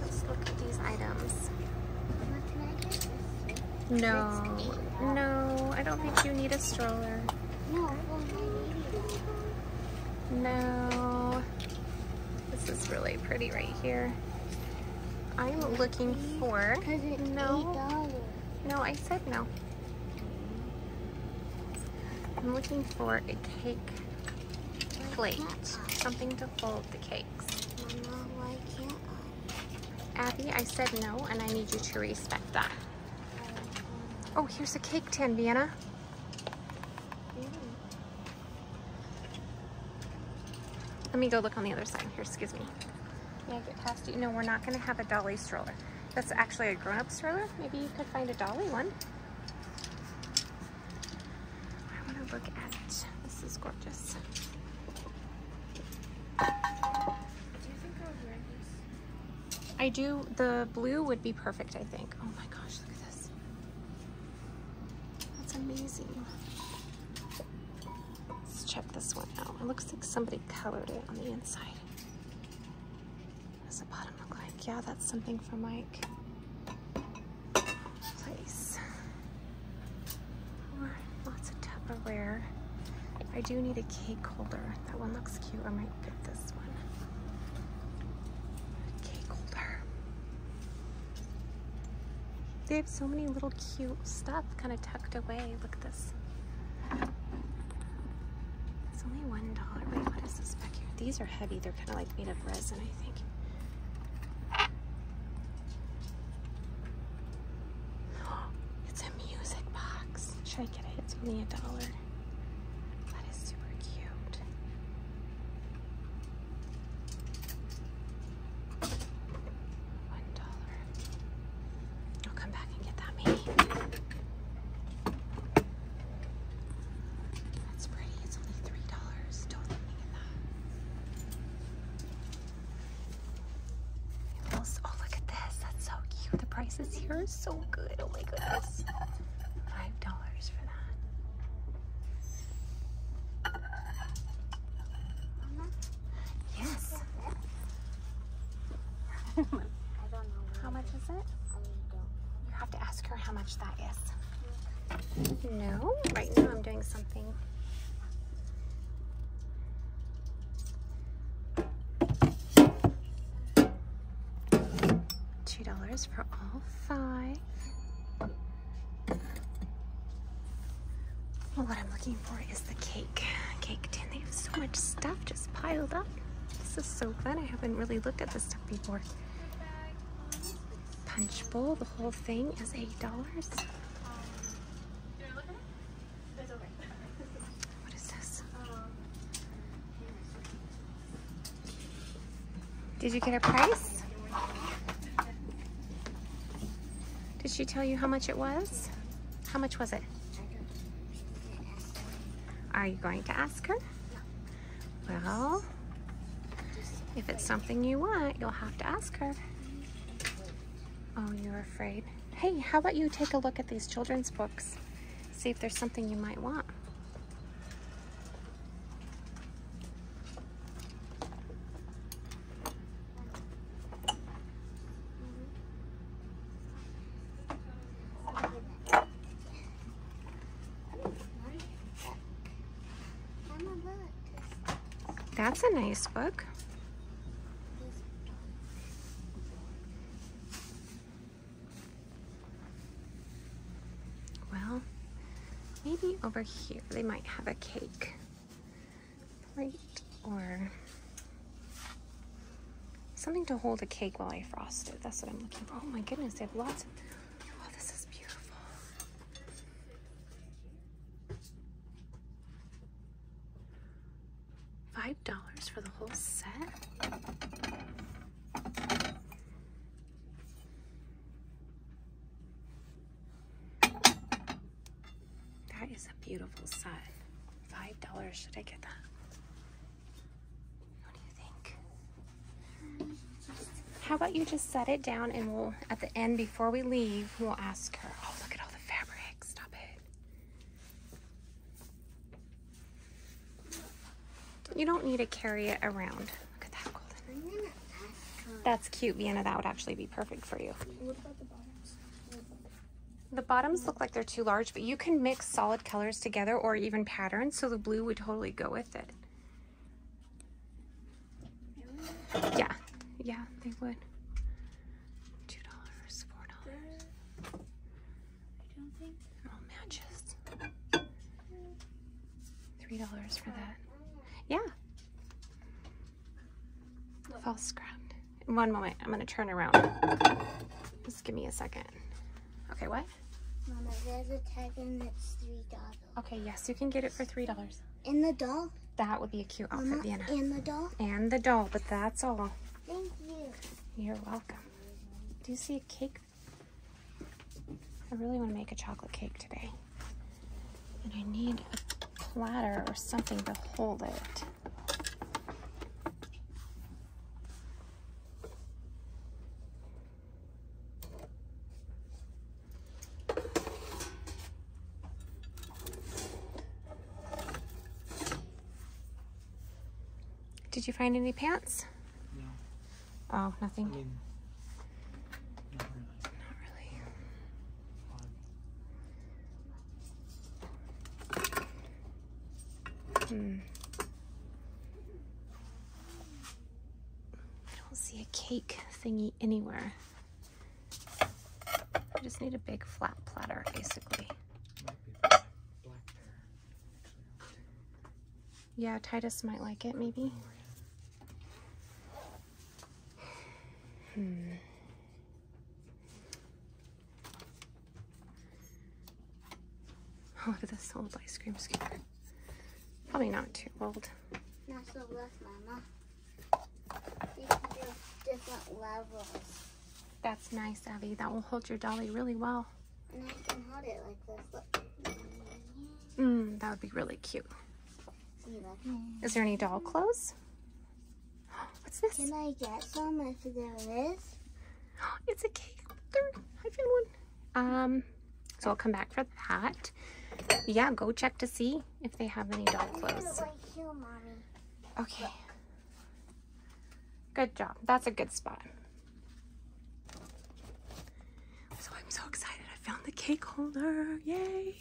Let's look at these items. No, no, I don't think you need a stroller. No, No, this is really pretty right here. I'm looking for, no, no, I said no. I'm looking for a cake Plate. Something to fold the cakes. Abby, I said no, and I need you to respect that. Oh, here's a cake tin, Vienna. Let me go look on the other side here, excuse me. Can I get past you? No, we're not gonna have a dolly stroller. That's actually a grown-up stroller. Maybe you could find a dolly one. I want to look at This is gorgeous. I do, the blue would be perfect, I think. Oh my gosh, look at this. That's amazing. Let's check this one out. It looks like somebody colored it on the inside. Does the bottom look like? Yeah, that's something for Mike. Place. Or lots of Tupperware. I do need a cake holder. That one looks cute. I might pick this one. Cake holder. They have so many little cute stuff kind of tucked away. Look at this. It's only $1. Wait, what is this back here? These are heavy. They're kind of like made of resin, I think. It's a music box. Should I get it? It's only a dollar. That is super cute. One dollar. I'll come back and get that maybe. That's pretty. It's only three dollars. Don't let me that. oh, look at this. That's so cute. The prices here are so good. Oh my goodness. Five dollars for that. Yes. How much is it? You have to ask her how much that is. No, right now I'm doing something. $2 for all five. Well, what I'm looking for is the cake. Cake tin. They have so much stuff just piled up. This is so fun. I haven't really looked at this stuff before. Punch bowl, the whole thing is $8. What is this? Did you get a price? Did she tell you how much it was? How much was it? Are you going to ask her? Well, if it's something you want, you'll have to ask her. Oh, you're afraid. Hey, how about you take a look at these children's books? See if there's something you might want. That's a nice book. Well, maybe over here they might have a cake plate or something to hold a cake while I frost it. That's what I'm looking for. Oh my goodness, they have lots of Oh, Five dollars for the whole set. That is a beautiful set. Five dollars. Should I get that? How about you just set it down and we'll, at the end, before we leave, we'll ask her. Oh, look at all the fabric. Stop it. You don't need to carry it around. Look at that golden. That's cute, Vienna. That would actually be perfect for you. The bottoms look like they're too large, but you can mix solid colors together or even patterns, so the blue would totally go with yeah, yeah, they would. Two dollars, four dollars. I don't think all matches. Three dollars for that. Yeah. False ground. One moment, I'm gonna turn around. Just give me a second. Okay, what? Okay, yes, you can get it for three dollars. And the doll? That would be a cute outfit, Mama, Vienna. And the doll? And the doll, but that's all. Thank you. You're welcome. Do you see a cake? I really want to make a chocolate cake today. And I need a platter or something to hold it. Did you find any pants? No. Oh, nothing? not really. hmm. I don't see a cake thingy anywhere. I just need a big flat platter, basically. Yeah, Titus might like it, maybe. Hmm. Oh, look at this old ice cream skewer? Probably not too old. That's nice, Abby. That will hold your dolly really well. And mm, that would be really cute. Is there any doll clothes? What's this? Can I get some if this? It's a cake. I found one. Um, so I'll come back for that. Yeah, go check to see if they have any doll clothes. Okay. Good job. That's a good spot. So I'm so excited. I found the cake holder. Yay.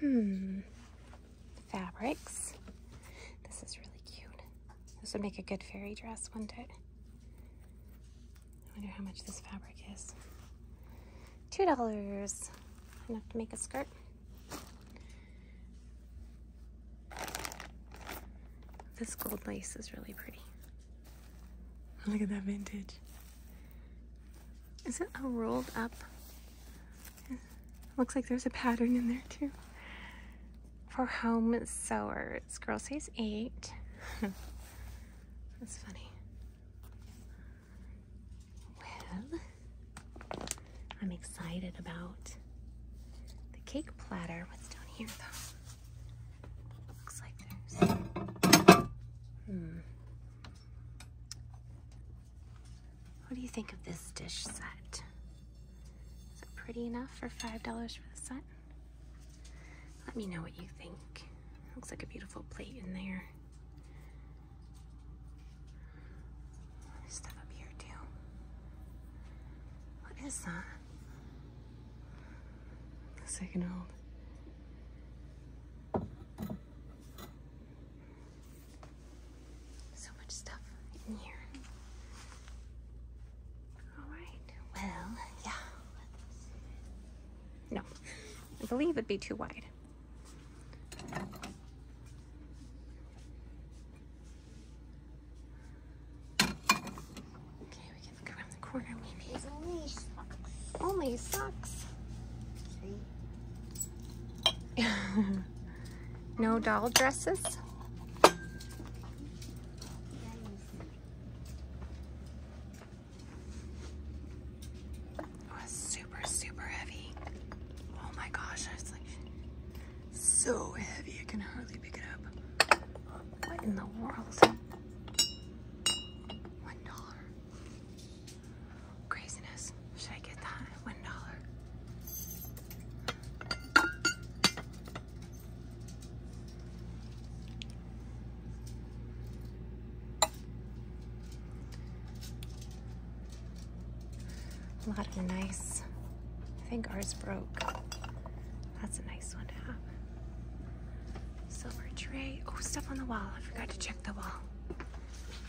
Hmm. Fabrics. This is really cute. This would make a good fairy dress, wouldn't it? I wonder how much this fabric is. Two dollars. Enough to make a skirt. This gold lace is really pretty. Look at that vintage. Is it a rolled up looks like there's a pattern in there too. For home sewers. Girl size 8. That's funny. Well, I'm excited about the cake platter. What's down here though? Looks like there's... Hmm. What do you think of this dish set? Is it pretty enough for $5 for the set? Let me know what you think. Looks like a beautiful plate in there. Stuff up here too. What is that? Looks like an old so much stuff in here. Alright, well, yeah. No, I believe it'd be too wide. Okay, we can look around the corner maybe. Only socks. no doll dresses? Oh, super, super heavy. Oh my gosh, it's like so heavy, I can hardly pick it up. What in the world? One dollar. Craziness. Should I get that? One dollar. A lot of nice, I think ours broke. That's a nice one to have. Silver tray. Oh, stuff on the wall. I forgot to check the wall.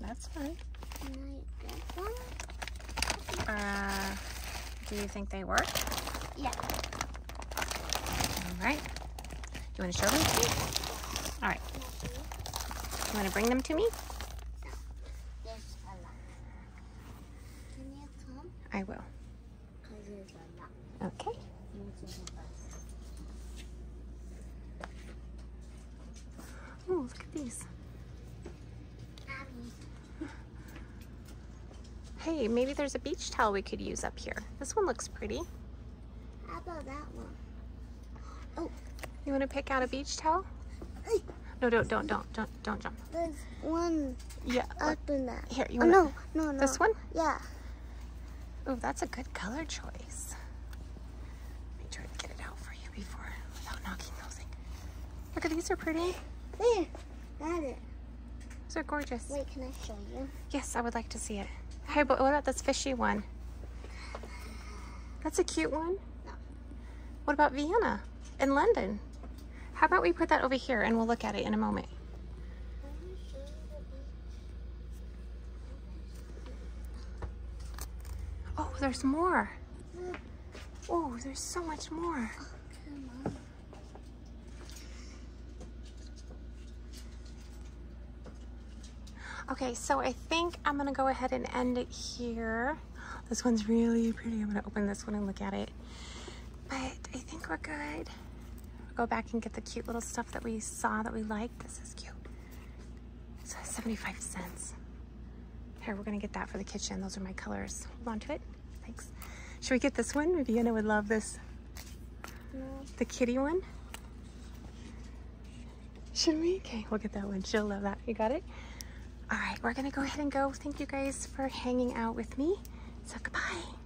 That's fine. Uh, do you think they work? Yeah. All right. Do you want to show them to me? All right. You want to bring them to me? I will. Okay. Oh, look at this. Hey, maybe there's a beach towel we could use up here. This one looks pretty. How about that one? Oh. You want to pick out a beach towel? No, don't, don't, don't, don't, don't jump. There's one. Yeah. Up in that. Here, you oh, want No, no, no. This one? Yeah. Ooh, that's a good color choice. Make sure to get it out for you before, without knocking those Look at these are pretty. There, that's it. Those are gorgeous. Wait, can I show you? Yes, I would like to see it. Hey, but what about this fishy one? That's a cute one. What about Vienna and London? How about we put that over here and we'll look at it in a moment. Oh, there's more. Oh, there's so much more. Okay, so I think I'm gonna go ahead and end it here. This one's really pretty. I'm gonna open this one and look at it. But I think we're good. I'll go back and get the cute little stuff that we saw that we liked. This is cute. It's 75 cents. Here, we're gonna get that for the kitchen. Those are my colors. Hold on to it. Thanks. Should we get this one? Viviana would love this. The kitty one. Should we? Okay, we'll get that one. She'll love that. You got it? All right, we're gonna go ahead and go. Thank you guys for hanging out with me. So goodbye.